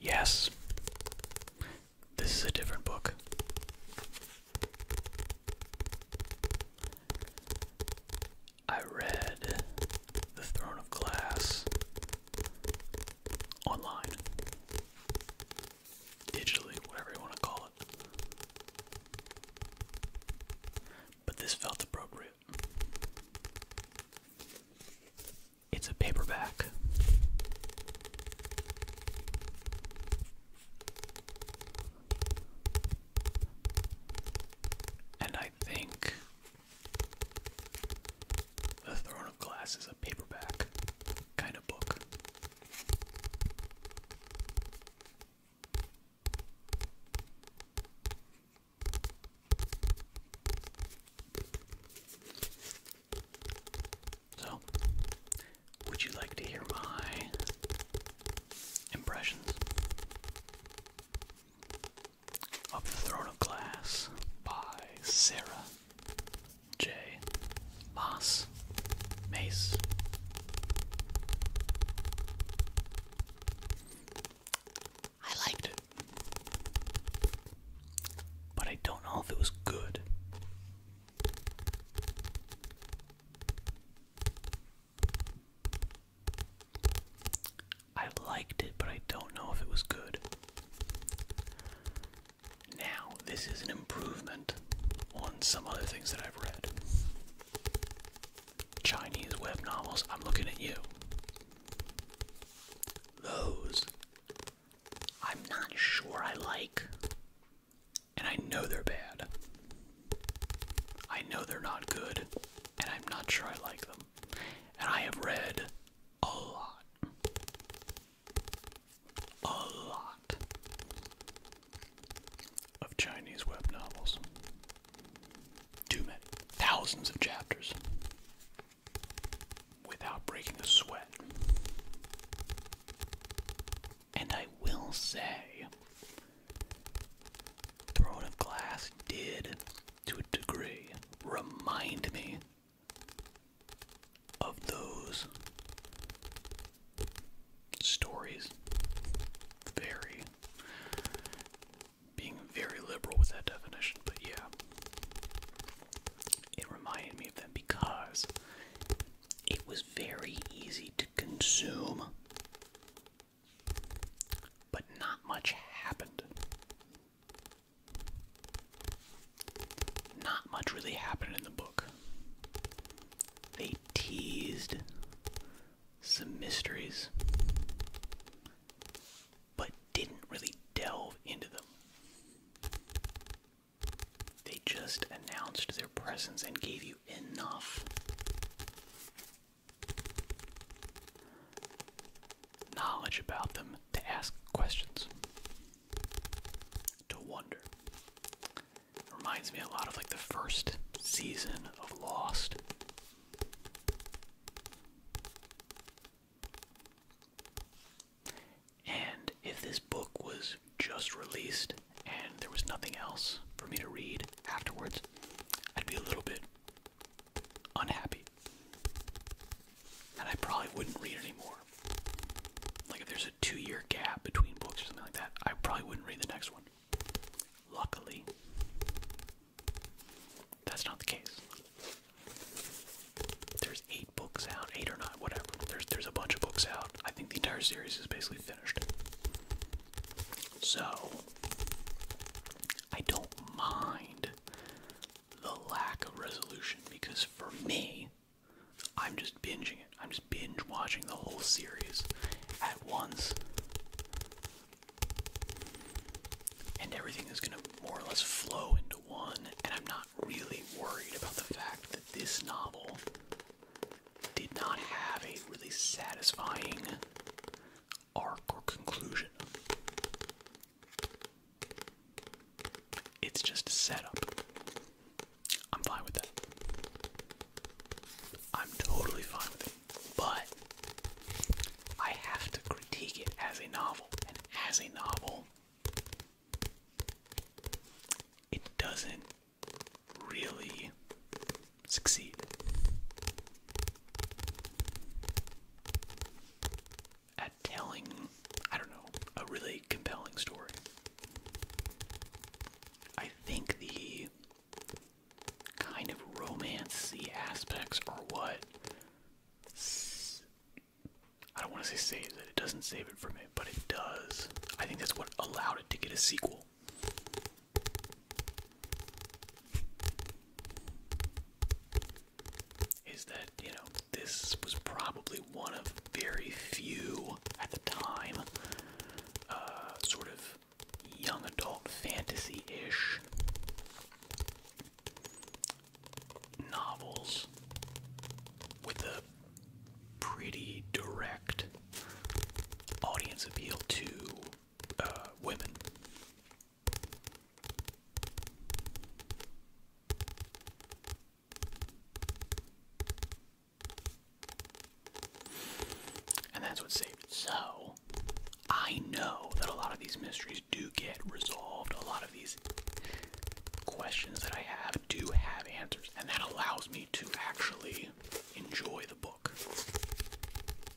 Yes. This is a different book. I read The Throne of Glass online, digitally, whatever you want to call it. But this felt appropriate. It's a paperback. And I think The Throne of Glass is a paperback kind of book. So, would you like to hear my impressions of The Throne of Glass by Sarah J. Moss I liked it. But I don't know if it was good. I liked it, but I don't know if it was good. Now, this is an improvement on some other things that I've read. Chinese web novels, I'm looking at you. Those I'm not sure I like. And I know they're bad. I know they're not good. And I'm not sure I like them. And I have read a lot. A lot of Chinese web novels. Too many. Thousands of chapters without breaking a sweat. And I will say, Throne of Glass did, to a degree, remind me of those stories. Very being very liberal with that definition, but yeah. It reminded me of them because it was very easy to consume, but not much happened. Not much really happened in the book. They teased some mysteries but didn't really delve into them. They just announced their presence and gave you enough. Knowledge about them to ask questions, to wonder. reminds me a lot of like the first season of Lost. And if this book was just released and there was nothing else for me to read afterwards, I'd be a little bit unhappy. And I probably wouldn't read anymore. Like if there's a two year gap between books or something like that, I probably wouldn't read the next one. Luckily, that's not the case. There's eight books out, eight or not, whatever. There's there's a bunch of books out. I think the entire series is basically finished. So I don't mind the lack of resolution because for me, I'm just binging it. I'm just binge watching the whole series at once. And everything is going to more or less flow into one. And I'm not really worried about the fact that this novel did not have a really satisfying arc or conclusion. It's just a setup. I'm fine with that. I'm totally fine with it but I have to critique it as a novel, and as a novel, it doesn't really succeed. At telling, I don't know, a really compelling story. I think the kind of romancey aspects or what. I don't want to say save it. It doesn't save it from it, but it does. I think that's what allowed it to get a sequel. Is that, you know, this was probably one of very few at the time uh, sort of young adult fantasy ish novels with a pretty direct audience appeal to uh, women. And that's what saved it. So, I know that a lot of these mysteries do get resolved. A lot of these questions that I have do have answers, and that allows me to actually enjoy the book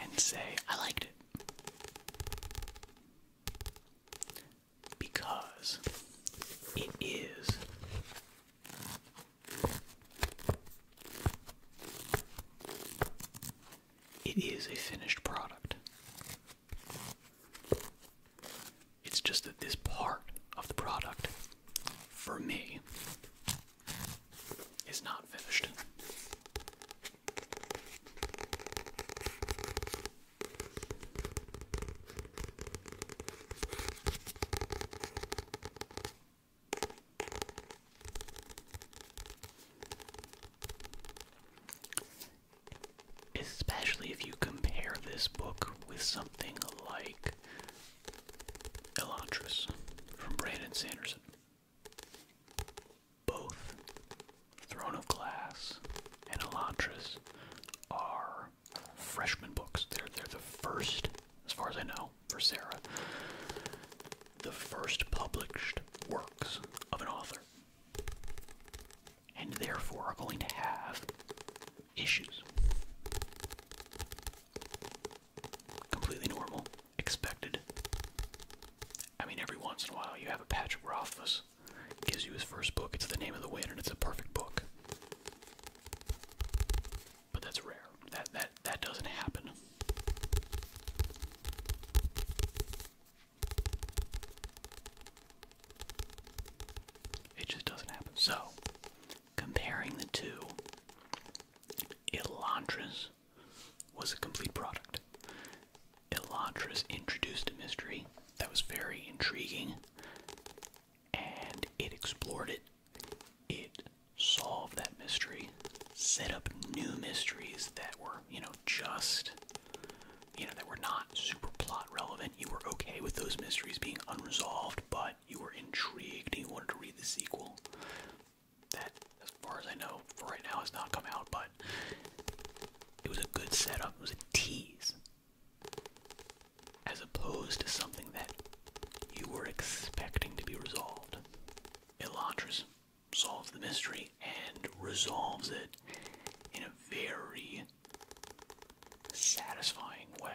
and say, I liked it. Because it is it is a finished product. It's just that this part of the product, for me, is not finished. Especially if you compare this book with something like Elantris from Brandon Sanderson. Both Throne of Glass and Elantris are freshman books. They're, they're the first, as far as I know, for Sarah. The first published works of an author, and therefore are going to have issues. Completely normal, expected. I mean, every once in a while you have a Patrick Rothfuss gives you his first book. It's the name of the wind, and it's a perfect book. But that's rare. That that that doesn't happen it just doesn't happen. So, comparing the two, Elantris was a complete product. Elantris introduced a mystery that was very intriguing, and it explored it. It solve that mystery, set up new mysteries that were, you know, just, you know, that were not super plot relevant. You were okay with those mysteries being unresolved, but you were intrigued and you wanted to read the sequel. That, as far as I know, right now has not come out, but it was a good setup. It was a tease. As opposed to something that you were expecting to be resolved. Elantris solves the mystery and resolves it in a very satisfying way.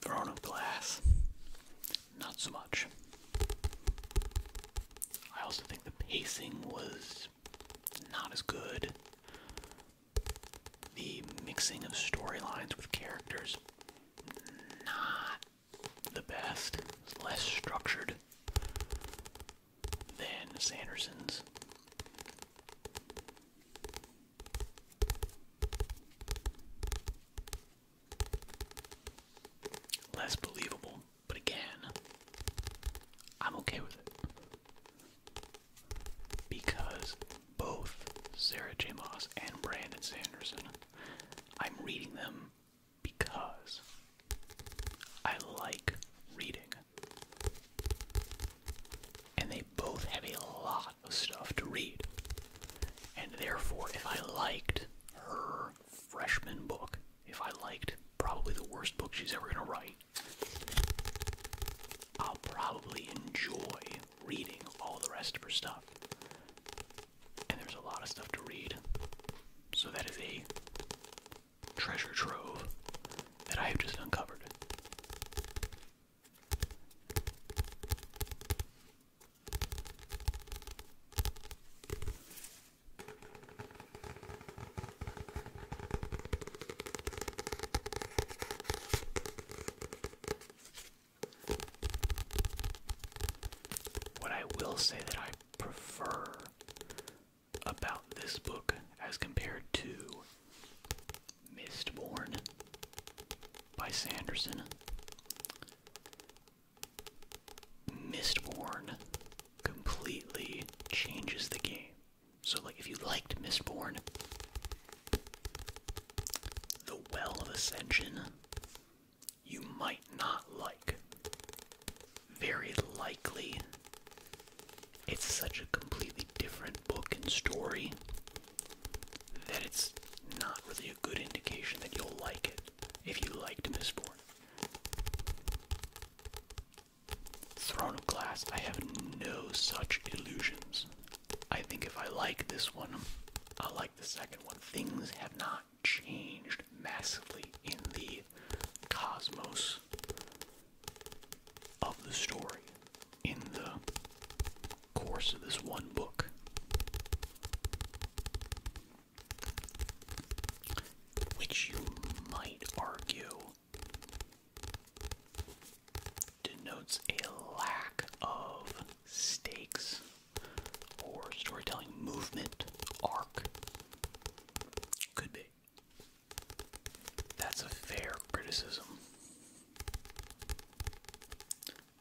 Throne of Glass, not so much. I also think the pacing was not as good. The mixing of storylines with characters, not the best. less structured than Sanderson's. Less believable, but again, I'm okay with it because both Sarah J. Moss and Brandon Sanderson, I'm reading them because I like reading. And they both have a lot of stuff to read. And therefore, if I liked her freshman book, if I liked probably the worst book she's ever going to write, I'll probably enjoy reading all the rest of her stuff. And there's a lot of stuff to read. So that is a treasure trove that I have just uncovered. What I will say that I prefer about this book as compared to Mistborn by Sanderson. Mistborn completely changes the game. So, like, if you liked Mistborn, The Well of Ascension, you might not like. Very likely, it's such a completely different book and story that it's not really a good indication that you'll like it if you liked Mistborn. Throne of Glass, I have no such illusions. I think if I like this one, i like the second one. Things have not changed massively in the cosmos of the story in the course of this one book. Which you might argue denotes a lack of stakes or storytelling movement arc. Could be. That's a fair criticism.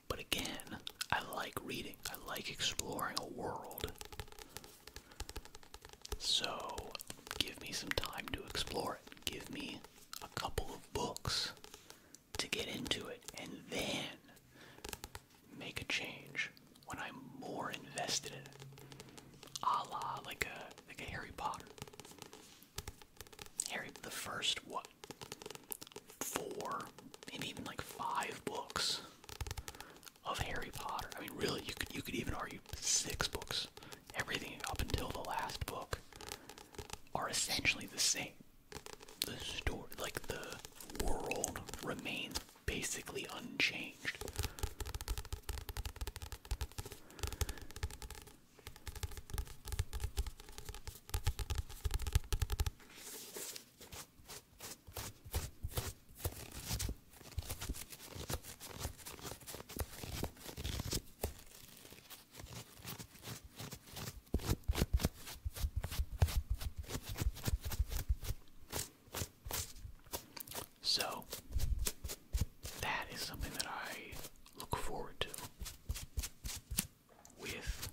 But again, I like reading, I like exploring a world. So, give me some time to explore it. Give me a couple of books to get into it and then make a change when I'm more invested in it. A la like a like a Harry Potter. Harry the first what four, maybe even like five books of Harry Potter. I mean really you could you could even argue six books everything up until the last book are essentially the same. The story, like the world, remains basically unchanged. So, that is something that I look forward to with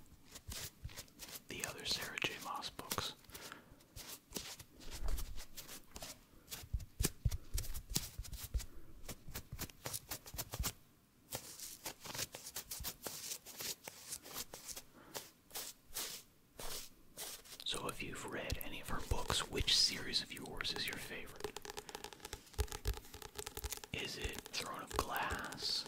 the other Sarah J. Moss books. So, if you've read any of her books, which series of yours is your favorite? Is it Throne of Glass,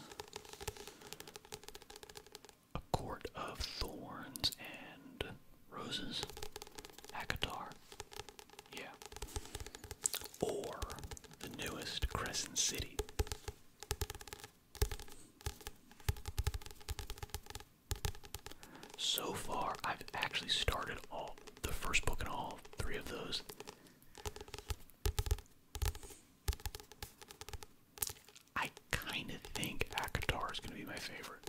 A Court of Thorns, and Roses. Hakatar. Yeah. Or the newest Crescent City. So far, I've actually started all the first book in all three of those. I kind of think Akatar is going to be my favorite.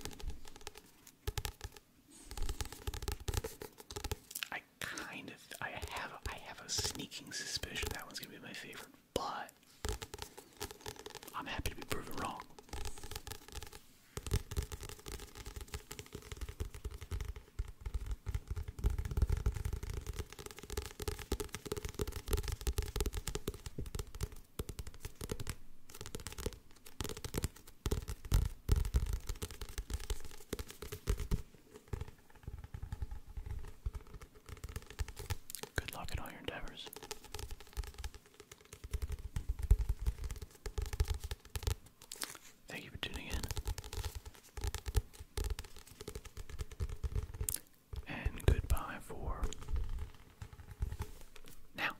I kind of I have a, I have a sneaking suspicion that one's gonna be my favorite, but I'm happy to be proven wrong. Good luck in all your endeavors. Thank you for tuning in. And goodbye for now.